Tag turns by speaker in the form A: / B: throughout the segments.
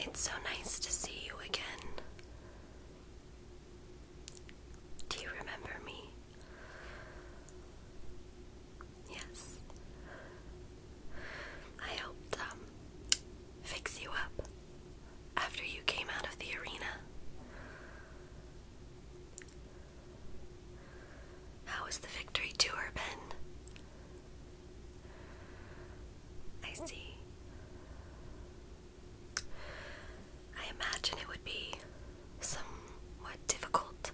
A: It's so nice to see you again. Do you remember me? Yes. I helped um, fix you up after you came out of the arena. How was the victory tour been? I see. I imagine it would be somewhat difficult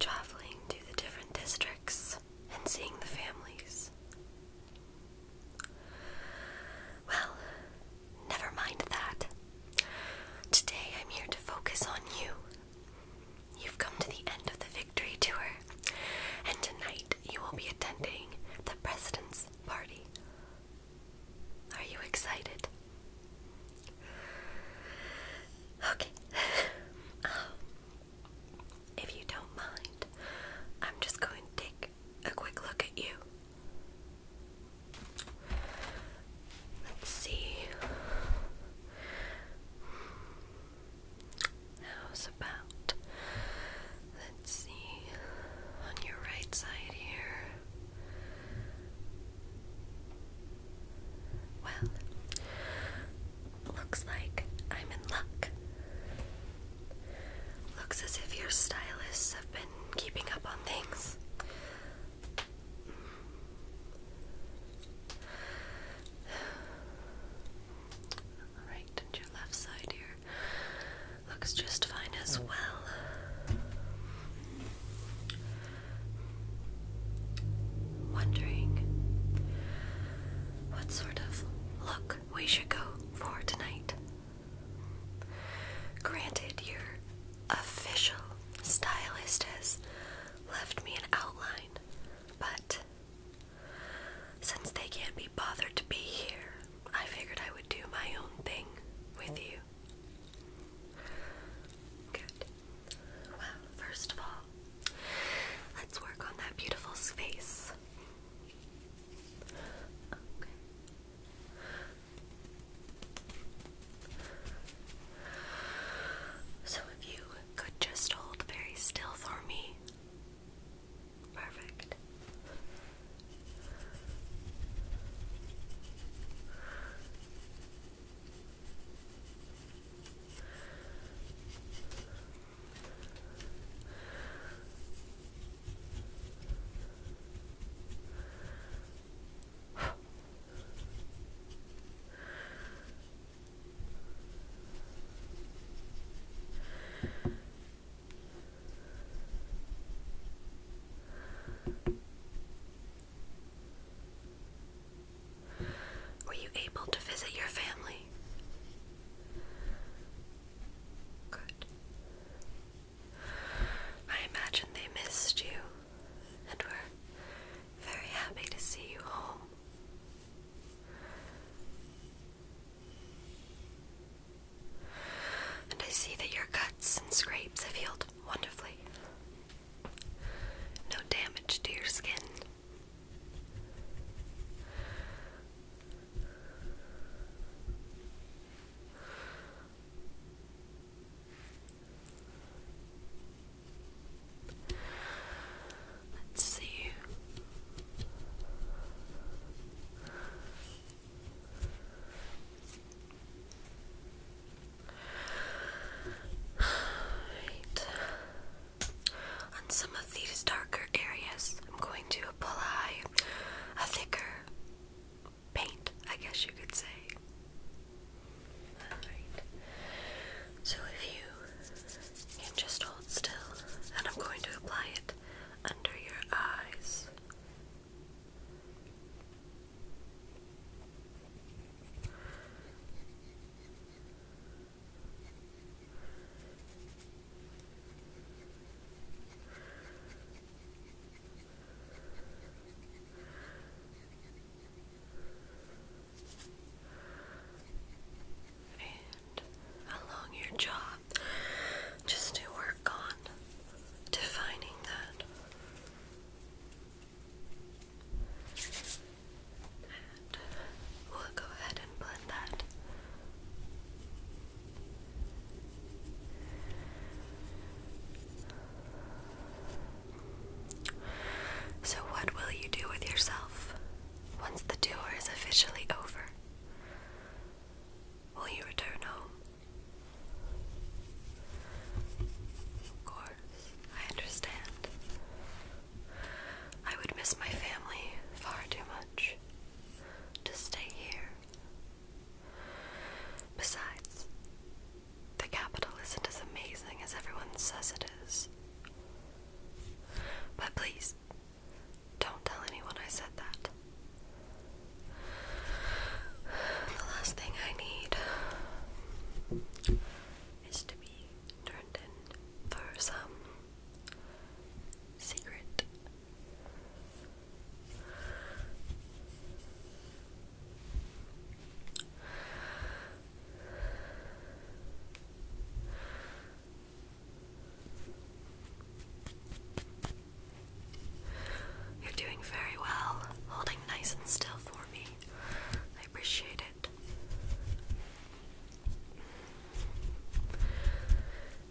A: traveling to the different districts and seeing the families. Well, never mind that. Today I'm here to focus on you. You've come to the end of the victory tour, and tonight you will be attending the president's party. Are you excited? Okay. Um, if you don't mind, I'm just going to take a quick look at you. Let's see. How's about? Let's see on your right side here. Well, looks like I'm in luck. Looks as if your stylists have been keeping up on things. Alright, your left side here looks just fine as oh. well. Wondering what sort of look we should go for tonight. Granted, your official stylist has left me an outline, but since they can't be bothered to be here, I figured I would do my own thing with you. Good. Well, first of all, let's work on that beautiful space. So, you could just hold very still for me. Perfect. Were you able to visit your family? Good. I imagine they missed you and were very happy to see you home. And I see that your cuts and scrapes have healed wonderfully. No damage to your skin. Let's see. On some of these darker areas, I'm going to apply a thicker paint, I guess you could say. Alright. So if you can just hold still, and I'm going to apply it under your eyes and along your job, just to work on defining that. And we'll go ahead and blend that. So, what will you do with yourself once the tour is officially over? Will you return home? Of course, I understand. I would miss my family far too much to stay here. Besides, the capital isn't as amazing as everyone says it is. But please, don't tell anyone I said that. The last thing I need is to be turned in for some secret you're doing very well, holding nice and still for me. I appreciate it.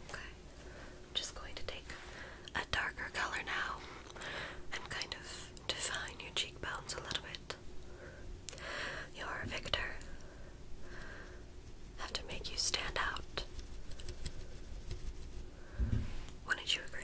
A: Okay, I'm just going to take a darker color now and kind of define your cheekbones a little bit. You're a victor. Have to make you stand out. Wouldn't you agree?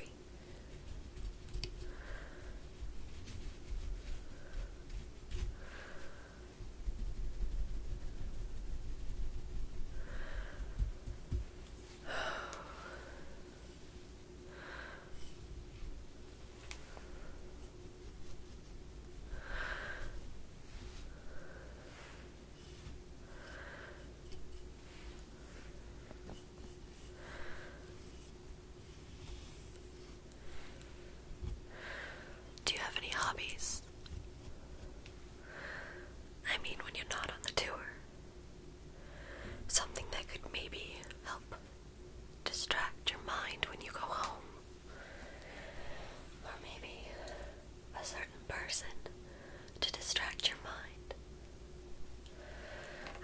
A: Do you have any hobbies? I mean, when you're not on the tour. Something that could maybe help distract your mind when you go home. Or maybe a certain person to distract your mind.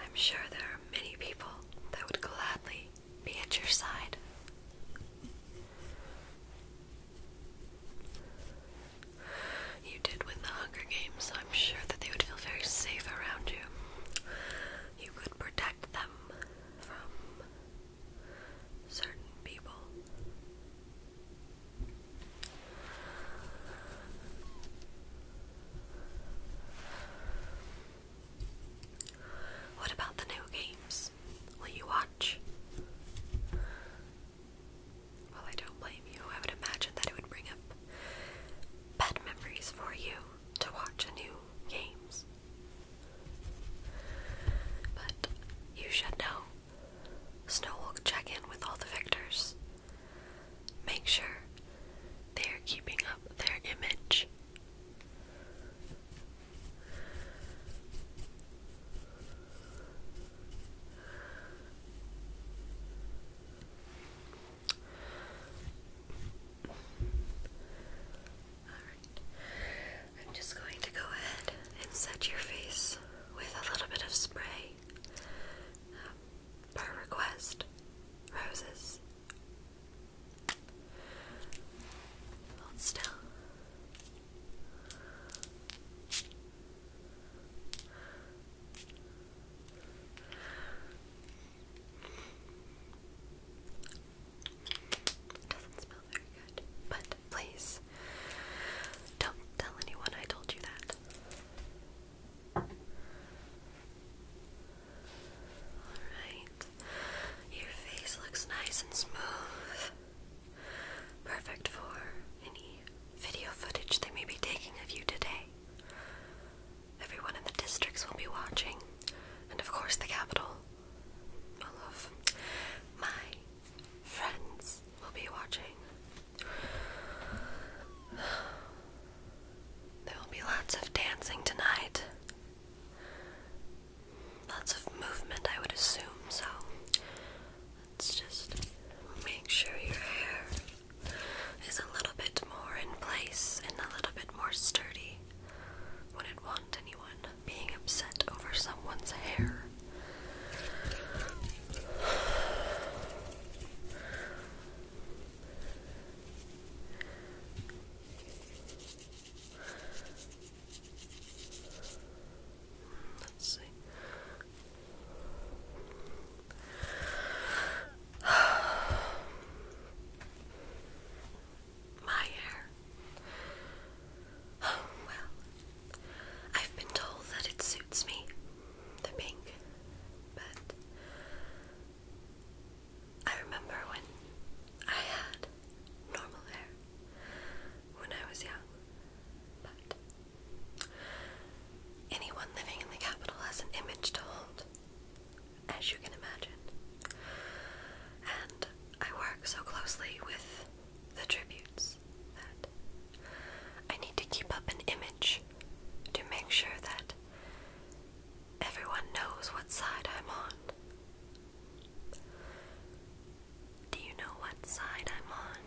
A: I'm sure there are many people that would gladly be at your side. You did win the Hunger Games, I'm sure that they would feel very safe around you. You could protect them from certain people. What about the new games? Will you watch? Well, I don't blame you. I would imagine that it would bring up bad memories for you to watch a new games. But you should know. Snow will check in with all the victors. Make sure they are keeping up their image. I'm just going to go ahead and set your face with a little bit of spray. Um, per request, roses. Hold still. It doesn't smell very good, but please don't tell anyone I told you that. Alright, your face looks nice and smooth. Perfect for any video footage they may be taking of you today. Everyone in the districts will be watching, and of course, the capital. All of my friends will be watching. There will be lots of dancing tonight. Lots of movement, I would assume, so Let's just make sure your hair is a little bit more in place and a little bit more sturdy. Wouldn't want anyone being upset over someone's hair. Let's see. My hair. well, I've been told that it suits me, the pink, but I remember when I had normal hair when I was young, but Anyone living in the capital has an image to hold, as you can imagine. And I work so closely with the tributes that I need to keep up an image to make sure that everyone knows what side I'm on. Do you know what side I'm on?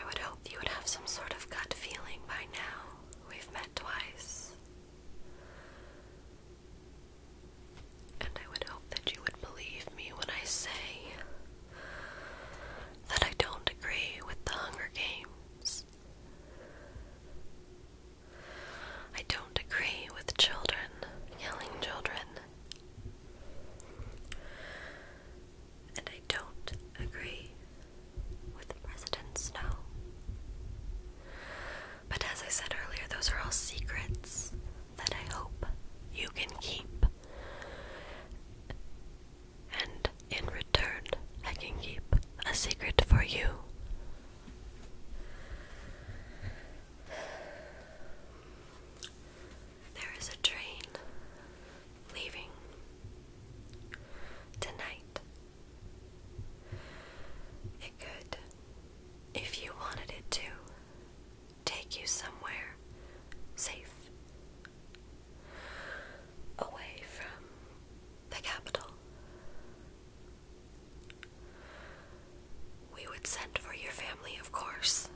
A: I would hope you would have some sort of gut feeling by now. We've met twice. And I would hope that you would believe me when I say that I don't agree with the Hunger Games. I don't agree with children, killing children. And I don't agree with President Snow. But as I said earlier, those are all secrets that I hope you can keep. And in return, I can keep a secret for you. There is a train leaving tonight. It could, if you wanted it to, take you somewhere safe. Away from the capital. We would send for your family, of course,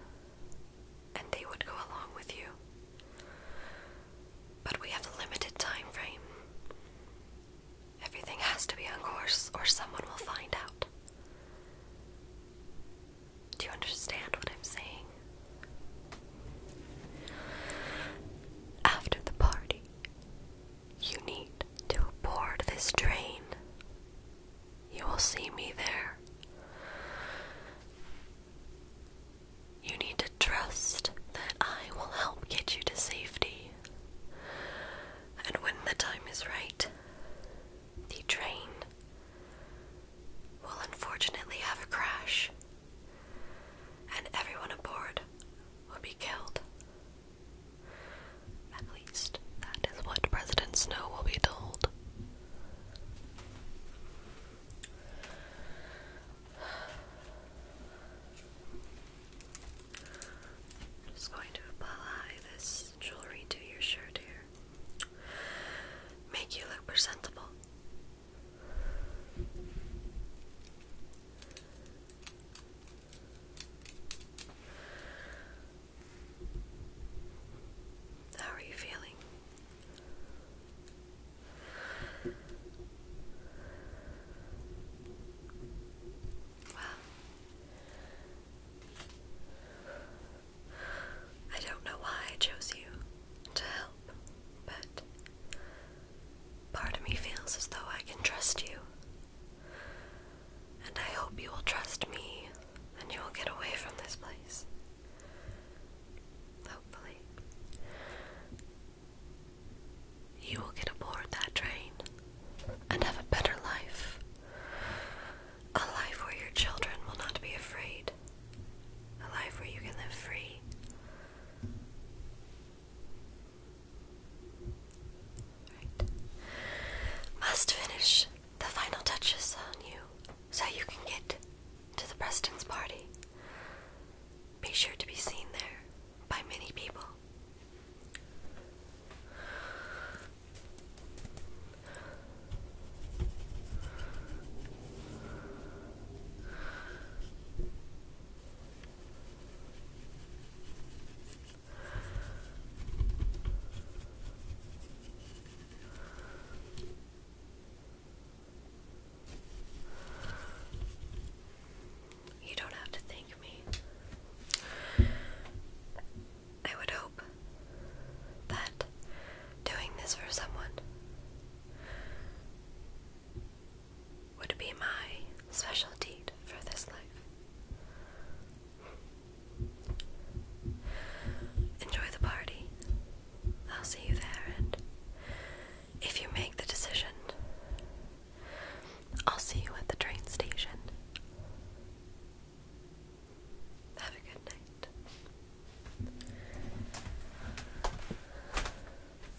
A: and they would go along with you. But we have a limited time frame. Everything has to be on course, or someone will find out. Do you understand what I'm saying? After the party, you need to board this train. You will see me there. You need to trust that I will help get you to safety. And when the time is right, the train will unfortunately have a crash, and everyone aboard will be killed. At least that is what President Snow will be told. just going to apply this jewelry to your shirt here. Make you look presentable. How are you feeling? Wow. I don't know why I chose you to help, but part of me feels as though I can trust you and I hope you will trust me and you will get away from this place. Hopefully. You will get aboard that train and have a better life. A life where your children will not be afraid. A life where you can live free. Must finish the final touches on you so you can get to the Preston's party. Be sure to be seen there by many people. You don't have to thank me. I would hope that doing this for someone would be my special deed for this life. Enjoy the party. I'll see you there, and if you make the decision, I'll see you at the train station. Have a good night.